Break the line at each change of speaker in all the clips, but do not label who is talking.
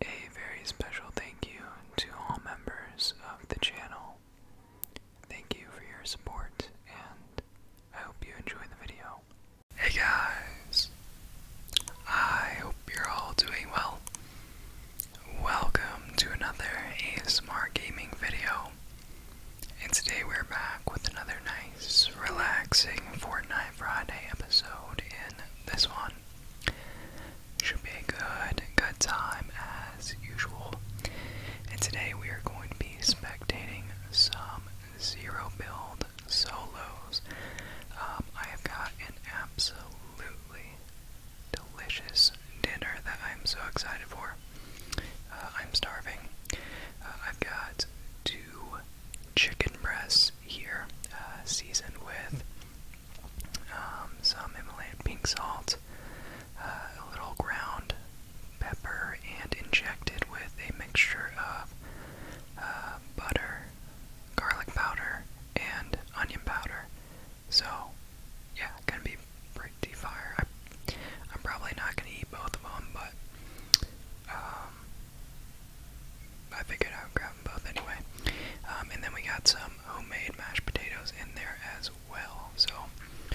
A very special thank you to all members of the channel. Thank you for your support and I hope you enjoy the video. Hey guys! I hope you're all doing well. Welcome to another A Smart gaming video. And today we're back with another nice, relaxing Fortnite Friday episode. In this one, should be a good, good time as usual. And today we are going to be spectating some zero build solos. Um, I have got an absolutely delicious dinner that I'm so excited for. Uh, I'm starving. Uh, I've got two chicken breasts here, uh, seasoned with um, some Himalayan pink salt, a little ground pepper, and injected with a mixture of butter, garlic powder, and onion powder. So, yeah, gonna be pretty fire. I, am probably not gonna eat both of them, but um, I figured I would grab them both anyway. Um, and then we got some homemade mashed potatoes in there as well. So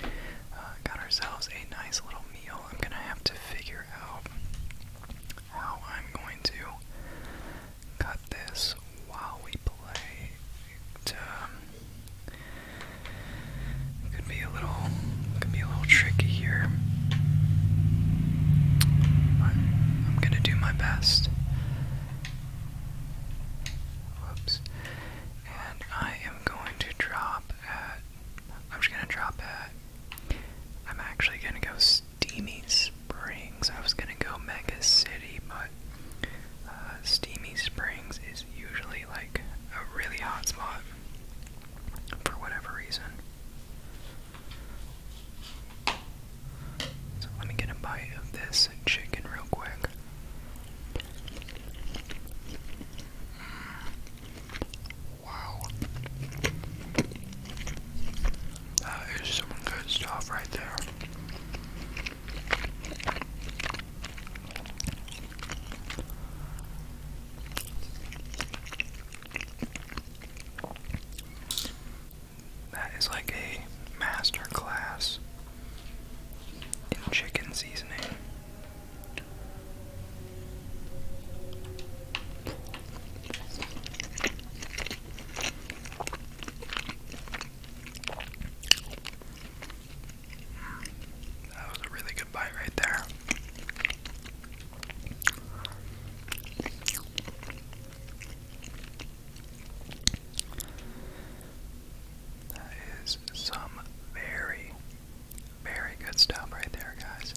uh, got ourselves a nice little meal. I'm gonna have to figure out how I'm going to cut this while we play um, could be a little, could be a little tricky here. I'm, I'm gonna do my best. Whoops. And I am going to drop at. I'm just gonna drop at. I'm actually gonna go Steamy Springs. I was gonna go Mega City, but uh, Steamy Springs usually like a really hot spot for whatever reason. So let me get a bite of this chicken real quick. Mm, wow. That is some good stuff right there. That is like a master class in chicken seasoning. That was a really good bite right there. That is some very, very good stuff right there, guys.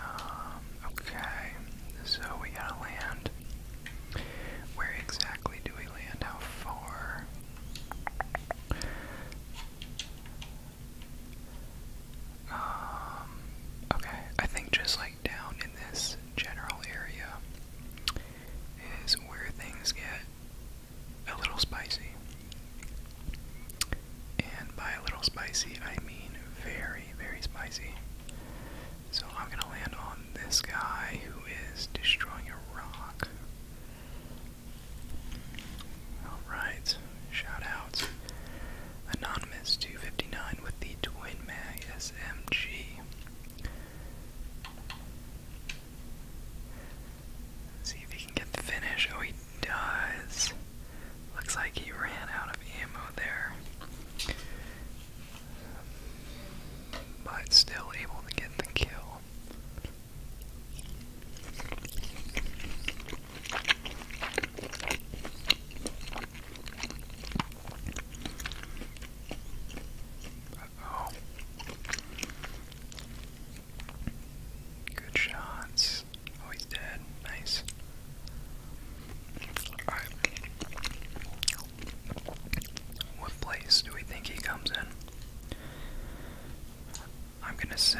Um, okay, so we gotta land where exactly do we land? How far? Um, okay, I think just like down in this general area is where things get a little spicy. And by a little spicy, I mean very, very spicy. So I'm gonna land on this guy who is destroying a rock. Alright, shout out. Anonymous 259 with the Twin Mag SMG. see if he can get the finish. Oh, he does. Looks like he ran out of ammo there but still able to get the kill. oh Good shots. Oh, dead. Nice. Alright. What place do we think he comes in? I'm gonna say.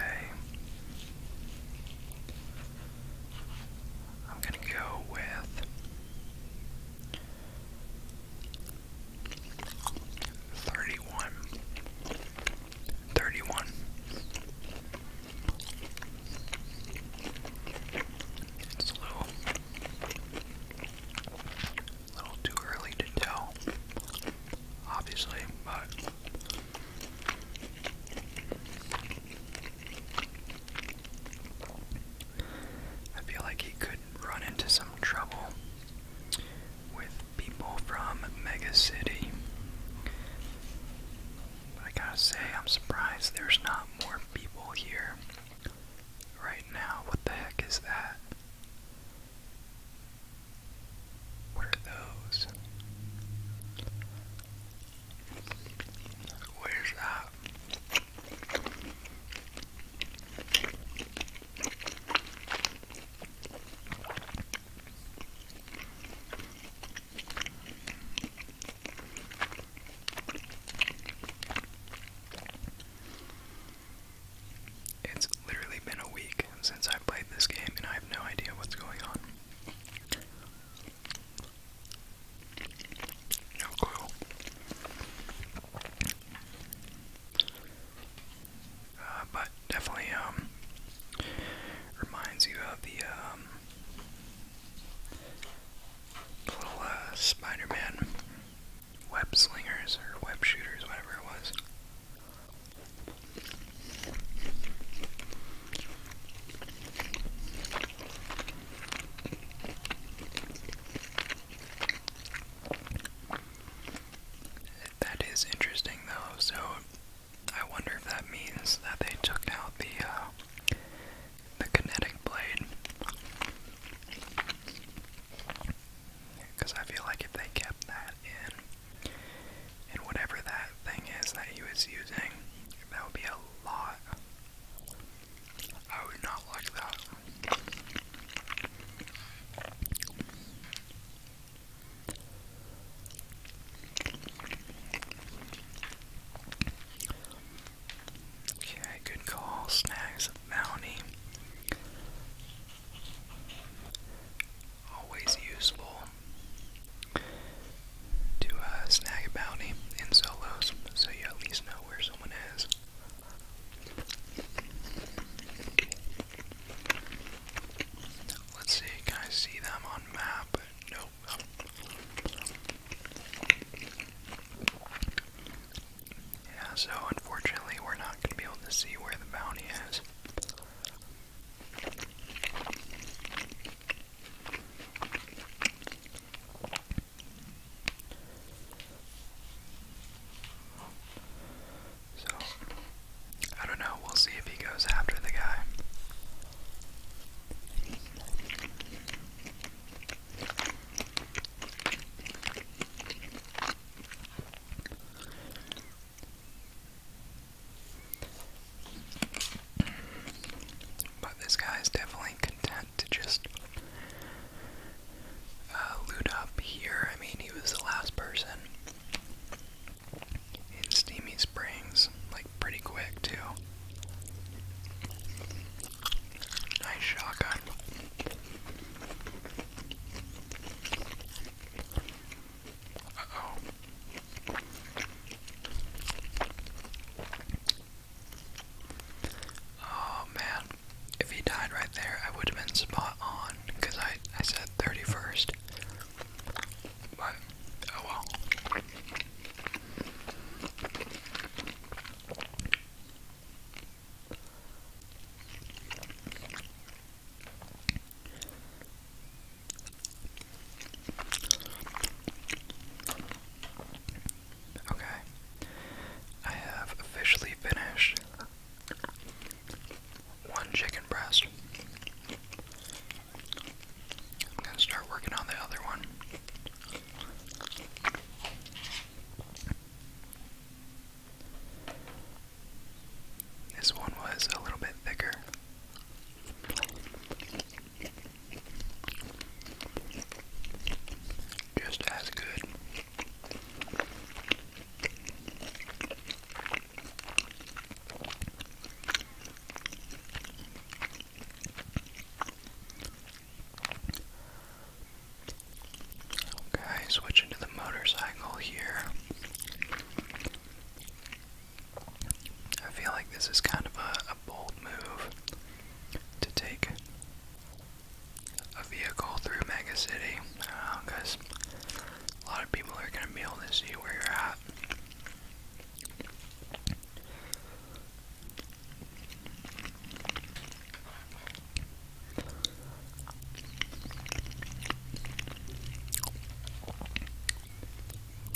I'm gonna go with. Thirty one. Thirty one. It's a little too early to tell, obviously, but I feel like he could run into some trouble with people from Mega City. I gotta say, I'm surprised there's not more people here. Right now, what the heck is that? What are those? Where's that? It's literally been a week since I played this game, and I have no idea what's going on. No clue. Uh, but definitely um, reminds you of the um, little uh, Spider-Man web slingers or web shooters, whatever it was. That is interesting though, so I wonder if that means that they took out the uh, the kinetic blade. Because I feel like if they kept that in, and whatever that thing is that he was using, that would be a lot. I would not like that. Okay, good call. Snags a bounty. Always useful to snag a bounty in solos so you at least know where someone is. Let's see, can I see them on map? Nope. Yeah, so unfortunately, we're not going to be able to see where the bounty is. So, I don't know, we'll see if he goes after the guy. But this guy is definitely content to just uh, loot up here. I mean, he was the last person in Steamy Springs, like pretty quick, too. Nice shotgun. oh. Oh man. If he died right there, I would have been spot on because I, I said 31st. But, oh well. Okay, I have officially finished one chicken breast. I'm going to start working on the other one. This one was a little bit thicker. Just as good. Okay, switching to the motorcycle here. I feel like this is kind of a, bold move to take a vehicle through Mega City because uh, a lot of people are going to be able to see where you're at.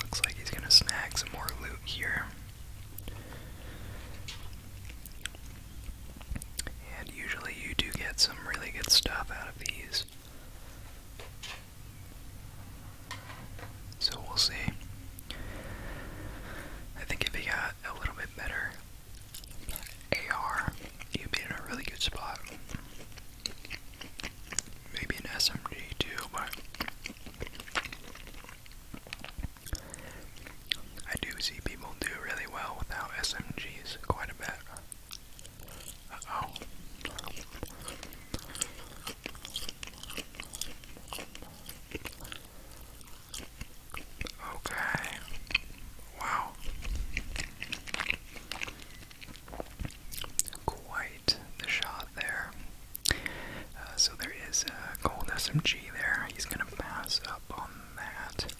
Looks like he's gonna snag some more loot here. And usually you do get some really good stuff out of these. So we'll see. I think if he got a little bit better AR, you'd be in a really good spot. Maybe an SMG too, but I do see people do really well without SMGs quite a bit. oh. Okay. Wow. Quite the shot there. Uh, so there is a gold SMG there. He's going to pass up on that.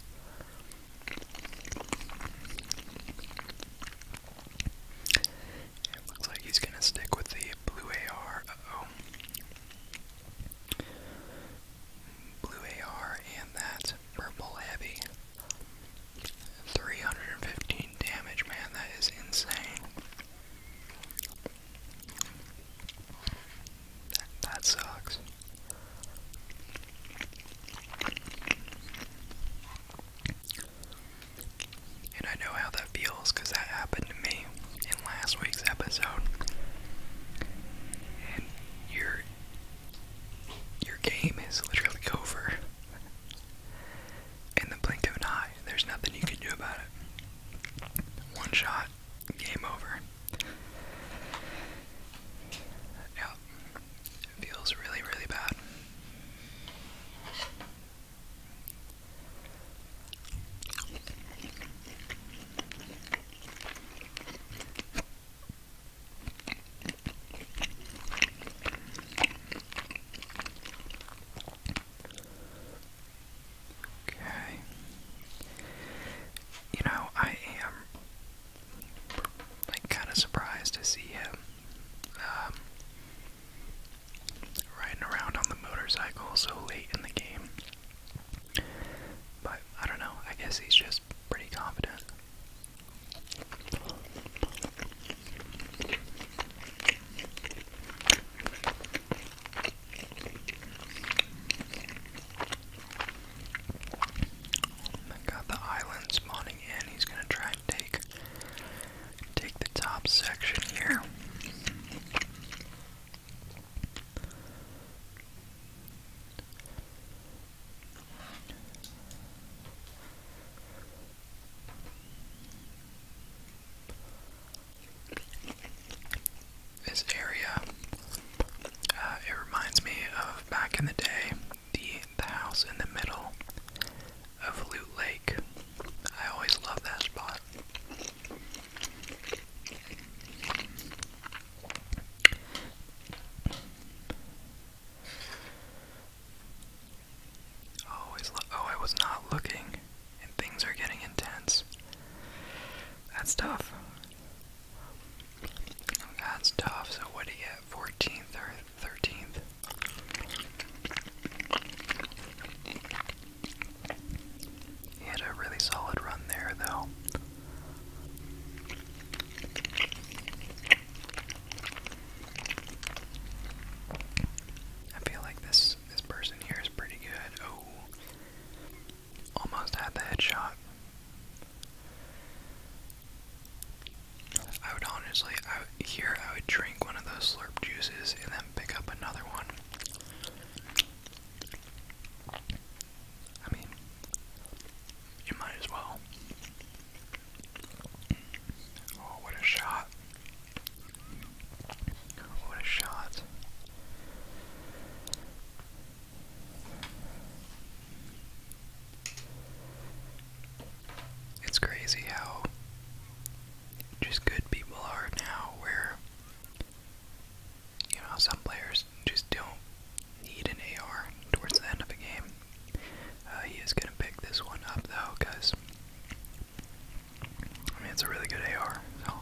It looks like he's going to stick with the blue AR. Blue AR and that's purple heavy. 315 damage, man, that is insane. That, sucks. And I know how that feels because that happened to me in last week's episode, your your game is literally over. In the blink of an eye, there's nothing you can do about it. One shot, game over. Yeah, it feels really, really bad. Okay. You know, I am like kind of surprised to see him um, riding around on the motorcycle so late in the game. But I don't know, I guess he's just pretty confident. Oh Got the island spawning in. He's gonna try and take take the top section here. This area, uh, it reminds me of back in the day, the the house in the middle of Loot Lake. I always love that spot. Oh, oh, I was not looking, and things are getting intense. That's tough. That's tough. So what do you get? Fourteenth or thirteenth? He had a really solid run there, though. I feel like this this person here is pretty good. Oh, almost had the headshot. I would honestly, I here I would drink one of those slurp juices and then pick up another one. I mean, you might as well. Oh, what a shot! What a shot! It's crazy how just good people are now, where you know, some players just don't need an AR towards the end of a game. Uh, he is going to pick this one up, though, because, I mean, it's a really good AR, so.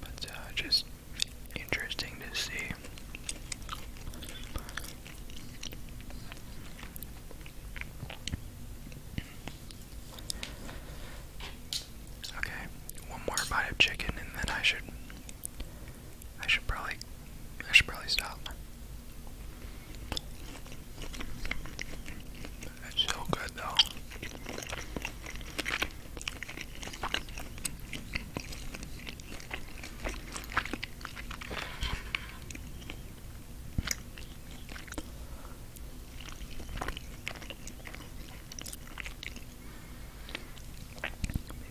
But uh, just interesting to see. Okay, one more bite of chicken and then I should I should probably I should probably stop. It's so good though.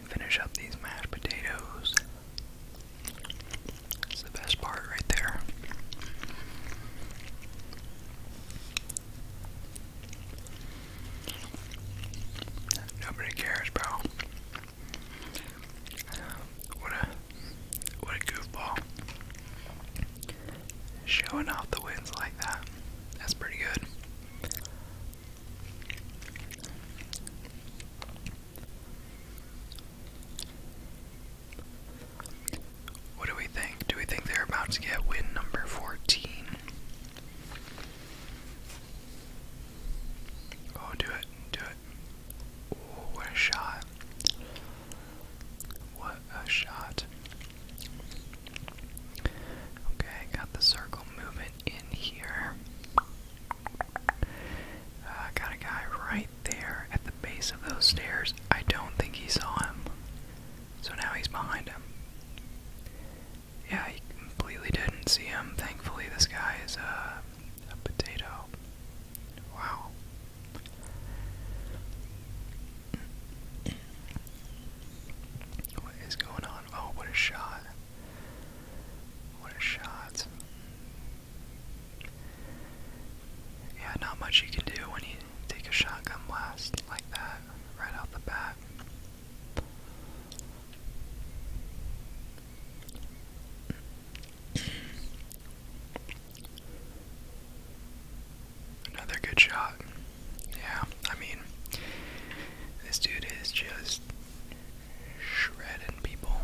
Finish up these mashed potatoes. It's the best part right there. Nobody cares, bro. What a what a goofball. Showing off the wins like that. That's pretty good. What do we think? Do we think they're about to get win number 14? Oh, do it, do it. what a shot. What a shot. Okay, got the circle movement in here. Uh, got a guy right there at the base of those stairs. I don't think he saw him. So now he's behind him yeah, he completely didn't see him. Thankfully, this guy is uh, a, potato. Wow. What is going on? Oh, what a shot. What a shot. Yeah, not much you can do when you take a shotgun blast like that right out the bat. Another good shot. Yeah, I mean, this dude is just shredding people.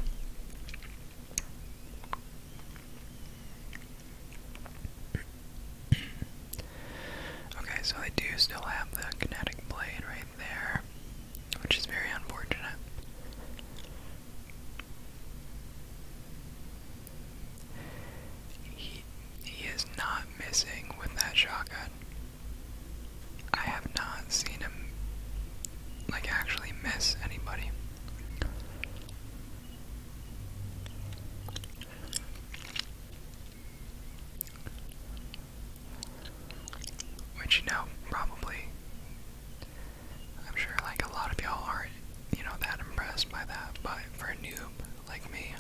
Okay, so I do still have the kinetic blade right there, which is very unfortunate. He, he is not missing with that shotgun. I have not seen him, like, actually miss anybody. Which, you know, probably, I'm sure like a lot of y'all are you know, that impressed by that, but for a noob like me,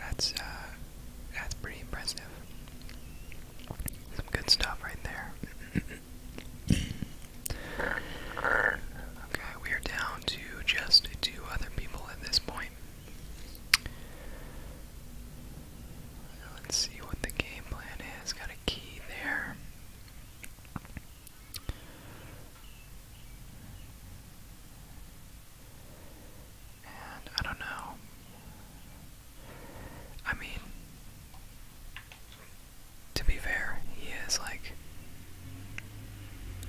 that's, uh, that's pretty impressive. Some good stuff right there. okay, we are down to just two other people at this point. Let's see what the game plan is. Got a key there. And I don't know. I mean, to be fair, he is like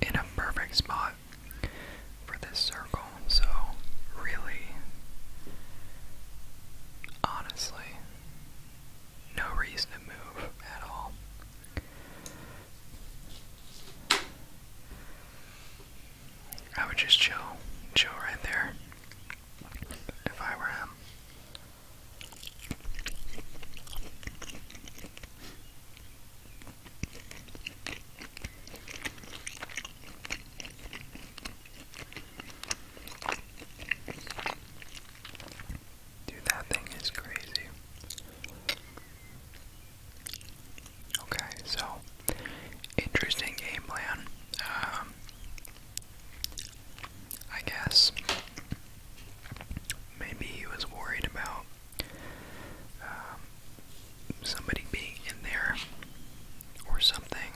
in a perfect spot for this circle, so really, honestly, no reason to move at all. I would just chill, chill right there if I were him. Dude, that thing is crazy. Okay, so interesting game plan. Um, I guess maybe he was worried about um, somebody being in there or something.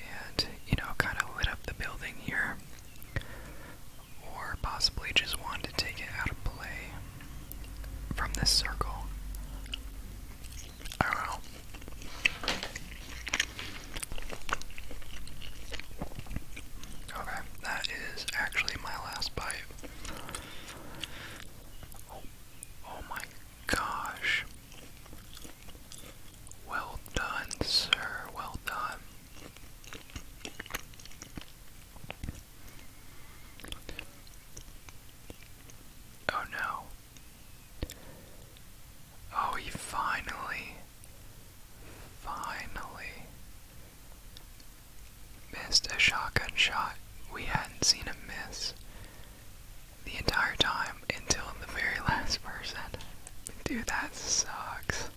And, you know, kind of lit up the building here. Or possibly just wanted to take it out of play from this circle. I don't know. Okay, that is actually my last bite. Oh, oh my gosh. Well done, sir. Well done. Oh no. Oh, he finally, finally missed a shotgun shot we hadn't seen him miss the entire time until the very last person. Dude, that sucks.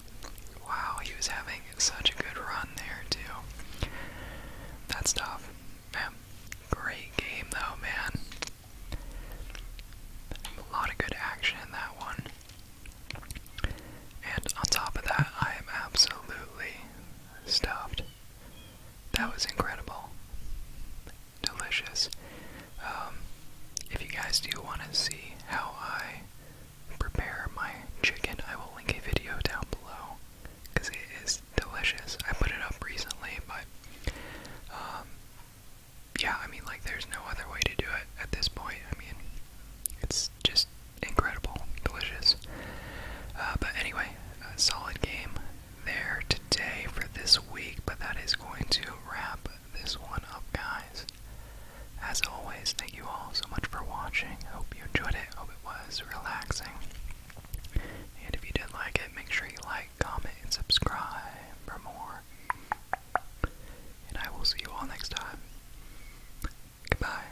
Wow, he was having such a good run there, too. That's tough. Man, great game, though, man. A lot of good action in that one. And on top of that, I am absolutely stuffed. That was incredible. Delicious. Um, if you guys do want to see how I prepare my chicken, I will link a video down below because it is delicious. I put it up recently, but um, yeah, I mean, like, there's no other way to do it at this point. I mean, it's just incredible, delicious. Uh, but anyway, solid game there today for this week, but that is going to wrap this one up, guys. As always, thank you all so much for watching. Hope you enjoyed it. Hope it was relaxing. And if you did like it, make sure you like, comment, and subscribe for more. And I will see you all next time. Goodbye.